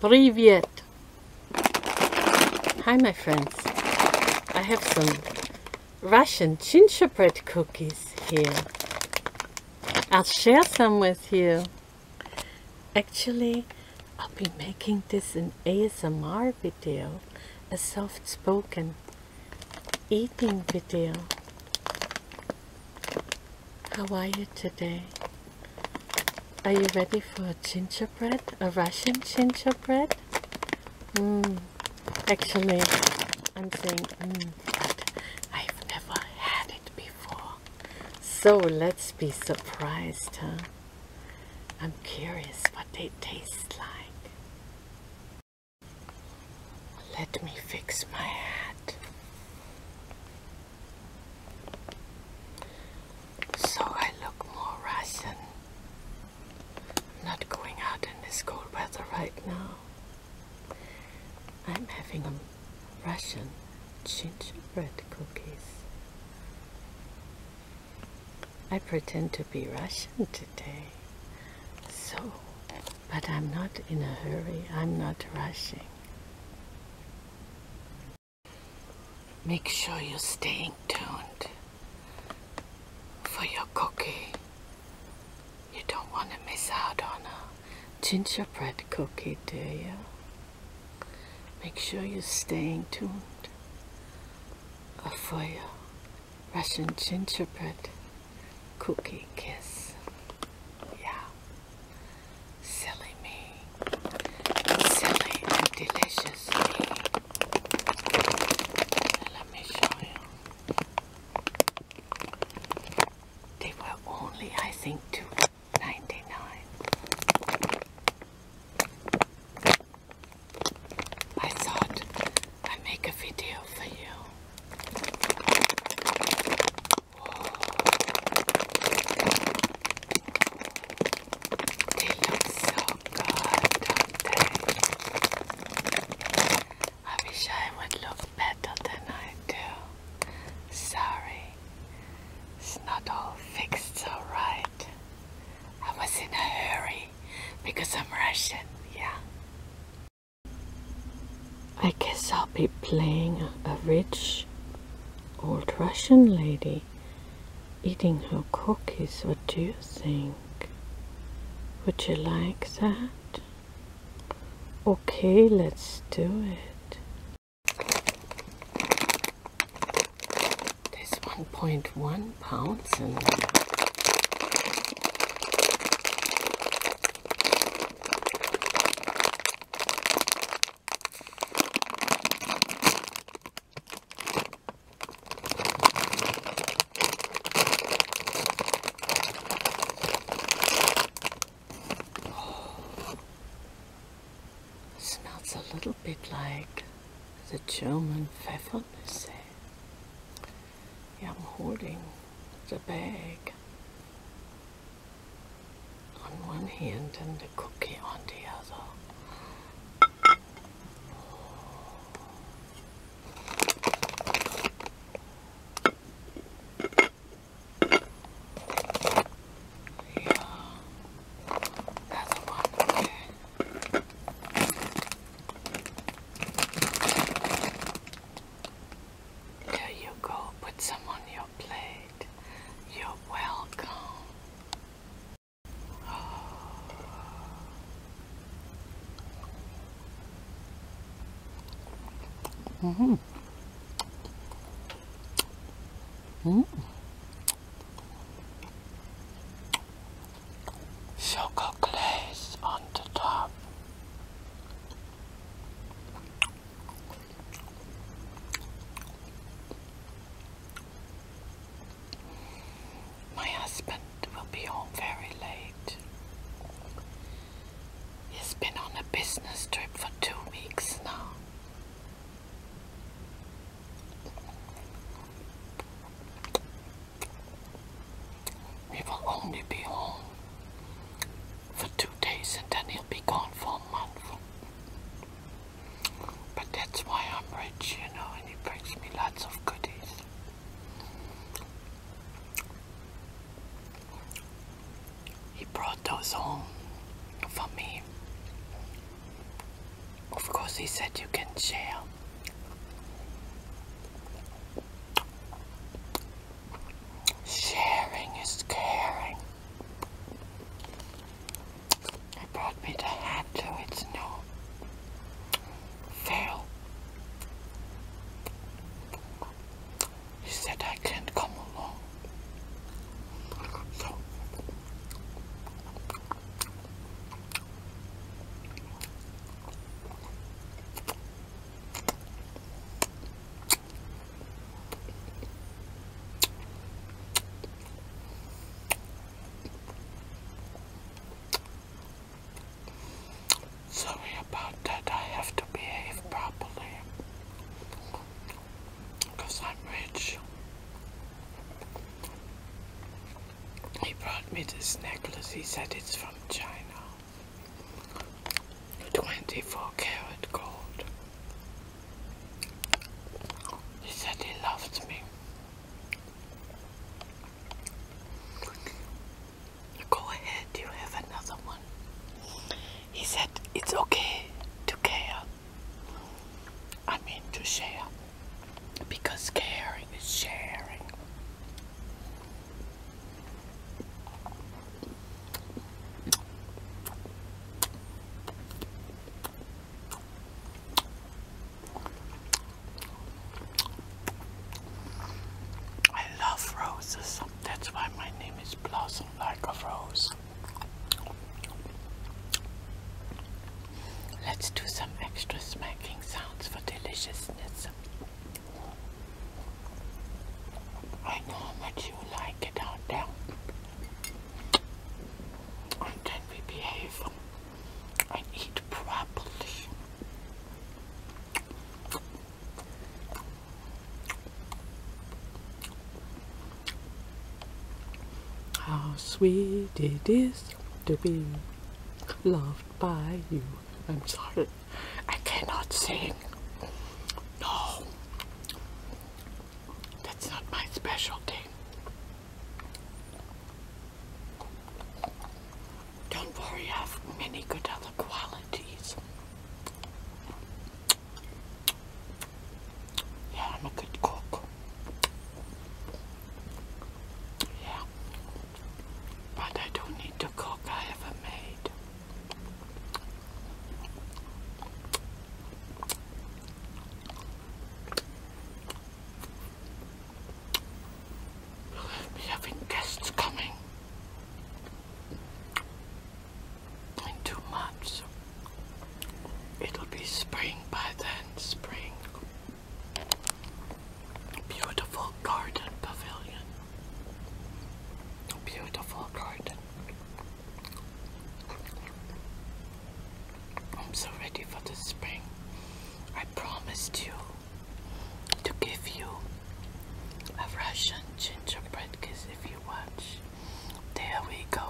Привет! Hi my friends. I have some Russian gingerbread cookies here. I'll share some with you. Actually, I'll be making this an ASMR video, a soft-spoken eating video. How are you today? Are you ready for a gingerbread? A Russian gingerbread? Hmm. Actually, I'm saying, hmm, I've never had it before. So let's be surprised, huh? I'm curious what they taste like. Let me fix my hat. So I look more Russian. I'm not going out in this cold weather right now. I'm having a Russian gingerbread cookies. I pretend to be Russian today. So, but I'm not in a hurry. I'm not rushing. Make sure you're staying tuned for your cookie. You don't want to miss out on a gingerbread cookie, do you? Make sure you're staying tuned for your Russian gingerbread cookie kiss. Yeah. Silly me. Silly delicious me. Let me show you. They were only, I think, two ninety nine. I thought I'd make a video for you. They look so good, do I wish I would look better than I do. Sorry, it's not all fixed All right, I was in a hurry because I'm Russian, yeah. I guess I'll be playing a rich old Russian lady eating her cookies. What do you think? Would you like that? Okay, let's do it. There's 1.1 pounds Smells a little bit like the German Pfeffermisse. I'm holding the bag on one hand and the cookie on the other. Yeah, that's one okay. There you go. Put some on your plate. You're welcome. hmm. hmm. Sugar glaze on the top. My husband will be home very late. He's been on a business trip for two weeks now. We will only be home for two days and then he'll be gone for a month. But that's why I'm rich, you know, and he brings me lots of goodies. He brought those home for me. Of course, he said you can share. Sharing is caring. I brought me the hat it's no fail. He said I can't come along. So Sorry about that, I have to behave properly because I'm rich. He brought me this necklace, he said it's from China. 24 carat gold. He said he loved me. Go ahead, you have another one. He said it's okay to care. I mean to share. Because caring is sharing. I love roses. That's why my name is Blossom Like a Rose. Let's do some extra smacking sounds for deliciousness. I know how much you like it out there. And then we behave and eat properly. How sweet it is to be loved by you. I'm sorry. I cannot sing. No. That's not my specialty. Don't worry, I have many good other qualities. Yeah, I'm a good cook. Yeah but I don't need to cook. I have a maid. We'll having guests coming in two months. It'll be spring by then, spring. Beautiful garden pavilion. Beautiful garden. I'm so ready for the spring. I promised you to give you a Russian gingerbread kiss if you watch. There we go.